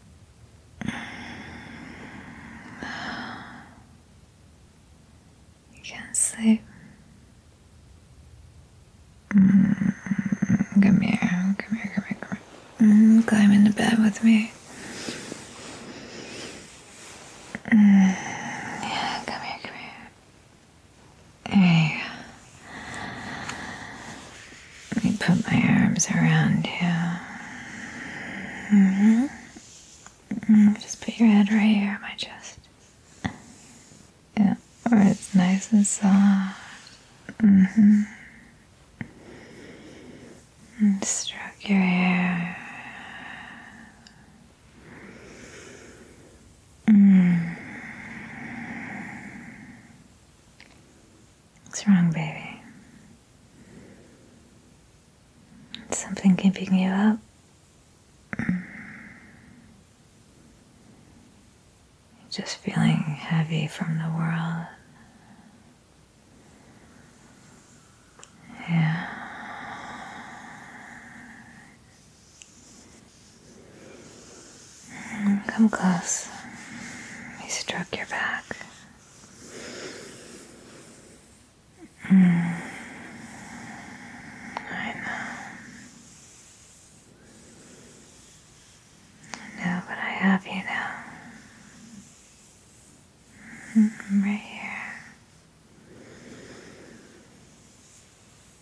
You can sleep. Mm, come here, come here, come here, come here. Mm, into bed with me. Mm, yeah, come here, come here. There let me put my arms around you. Mm-hmm. Mm-hmm. just put your head right here on my chest. Yeah, where it's nice and soft. Mm-hmm. And stroke your hair. Mm. What's wrong, baby? Is something keeping you up? Just feeling heavy from the world. Yeah. Come close. Let stroke your back. Hmm. I know. I know, but I have you now. Hmm, right here.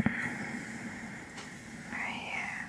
Hmm. Right here.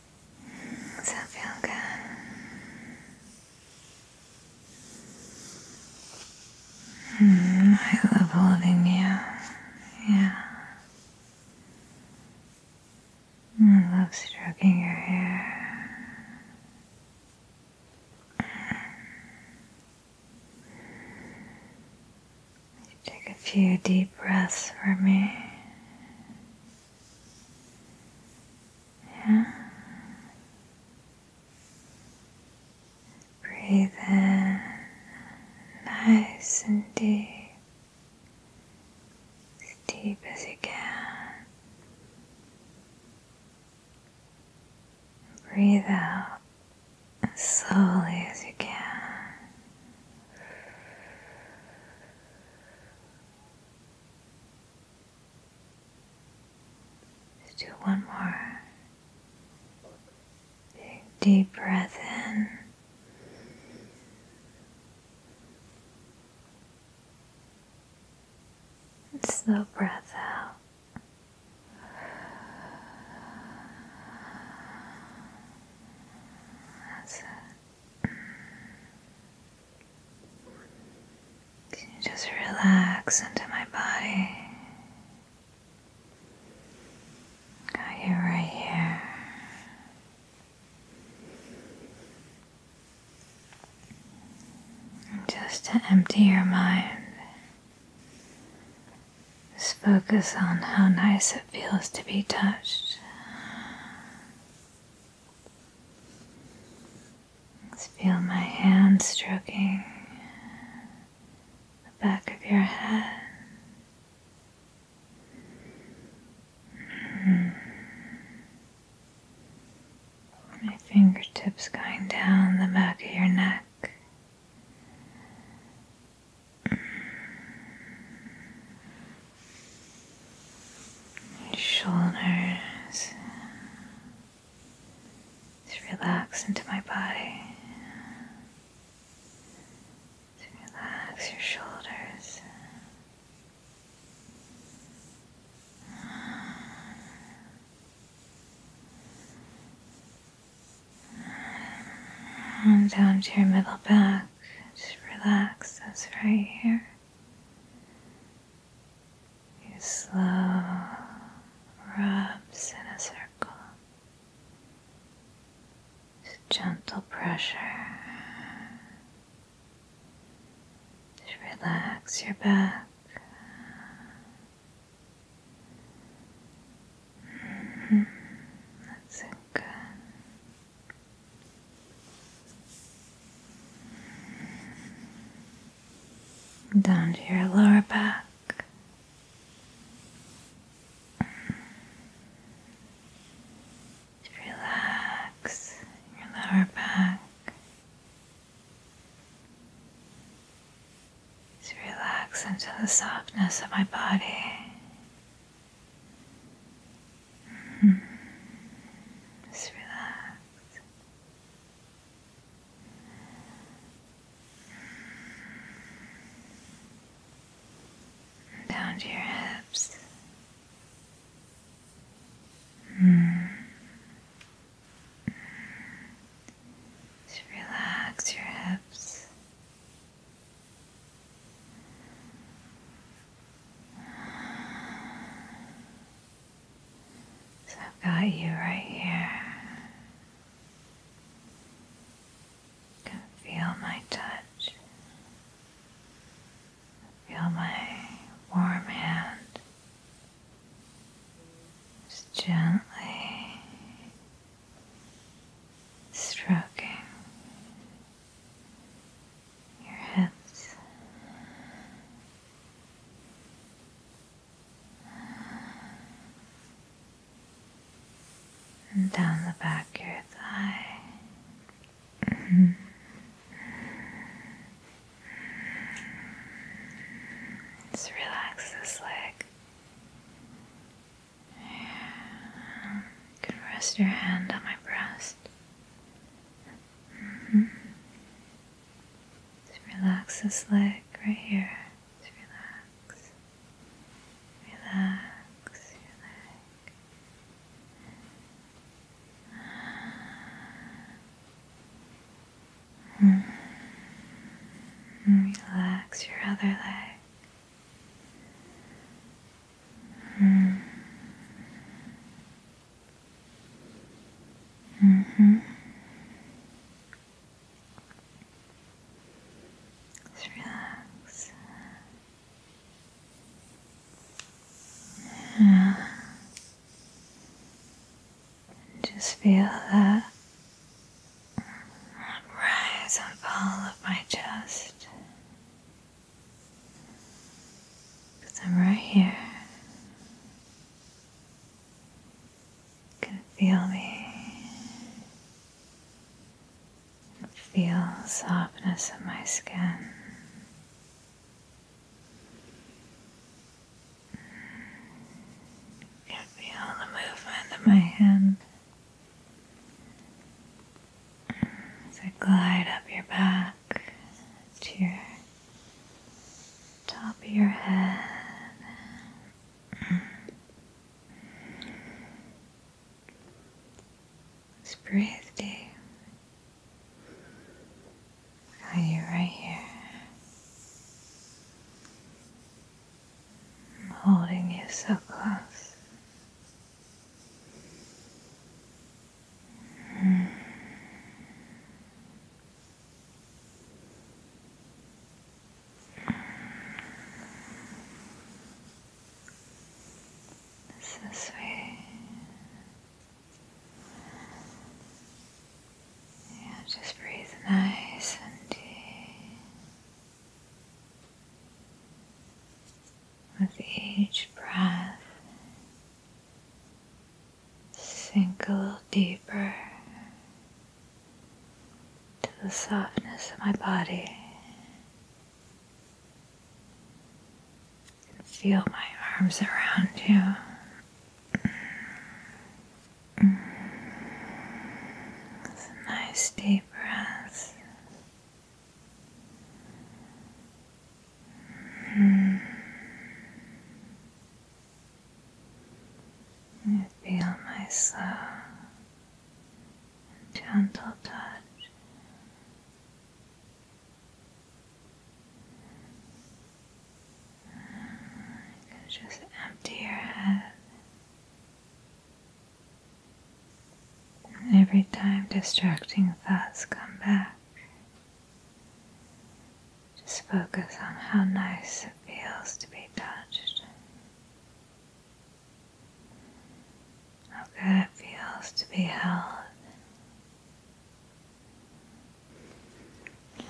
Does that feel good? Mm, I love holding you. Yeah. I love stroking your hair. Take a few deep breaths for me. Yeah. Breathe in nice and deep, as deep as you can. Breathe out as slowly as you can. Let's do one more. deep breath in. And slow breath out. Mm. Can you just relax into my body? Got you right here. Just to empty your mind just focus on how nice it feels to be touched. Just feel my hand stroking the back of your head. Mm-hmm. My fingertips going down the back of your neck Shoulders to relax into my body. relax your shoulders. And down to your middle back. Just relax this right here. You slow rubs in a circle. Just gentle pressure. Just relax your back. That's good. Down to your lower back. relax your lower back. Just relax into the softness of my body. Mm-hmm. Just relax. down to your hips. Mm-hmm. Just relax your hips. So I've got you right here. You can feel my touch. Feel my warm hand just gently stroking your hips. And down the back of your thigh. Just relax this leg. You can rest your hand on my breast. Mm-hmm. Just relax this leg right here. Just relax. Relax your leg. Mm. Relax your other leg. Mm. Mm -hmm. Just relax. Yeah. Just feel that rise and fall of my chest. Because I'm right here. You can feel me. Feel the softness of my skin. Can feel the movement of my hand as I glide up your back to your top of your head. breathe deep. Are you right here? I'm holding you so close. Mm. It's this yeah, just breathe nice and deep. With each breath, sink a little deeper to the softness of my body. Feel my arms around you. It's a nice deep breath. Mm. feel my slow, gentle touch just empty your head. every time distracting thoughts come back, just focus on how nice it feels to be touched. How good it feels to be held.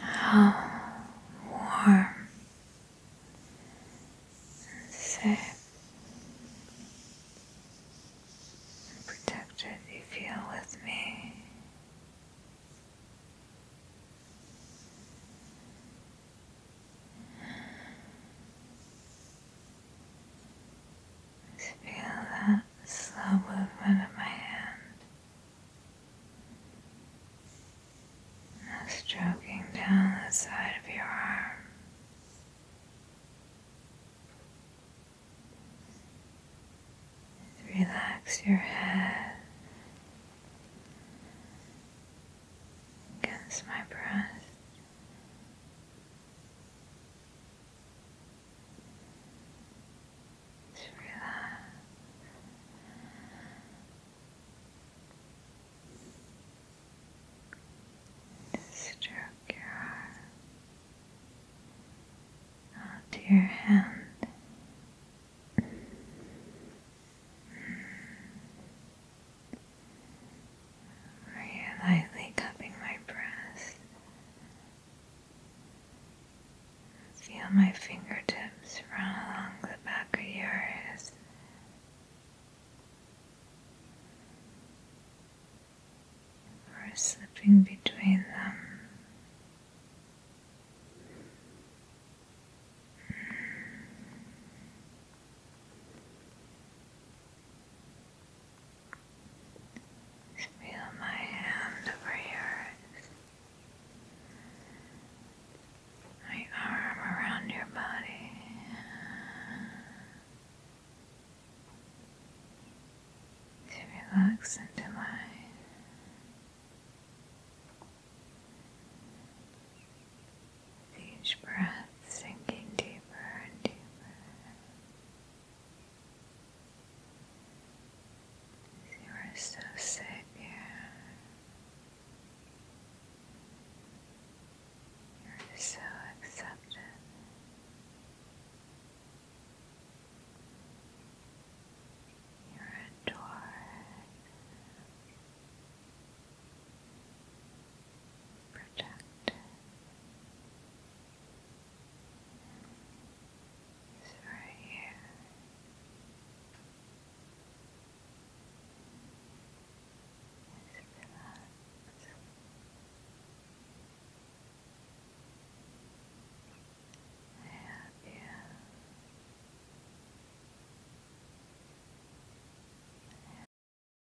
How warm safe protected you feel with me feel that slow movement of my hand. Now stroking down the side of your arm. Relax your head against my breast. Just relax. Just stroke your arm onto your hand. Maria lightly cupping my breast. Feel my fingertips run along the back of yours. Or slipping between them. Just feel my hand over yours. My arm around your body. To relax into mine. each breath sinking deeper and deeper. You are so safe here. You're so accepted. You're adored protected. It's right here. It's relaxed. I have you. I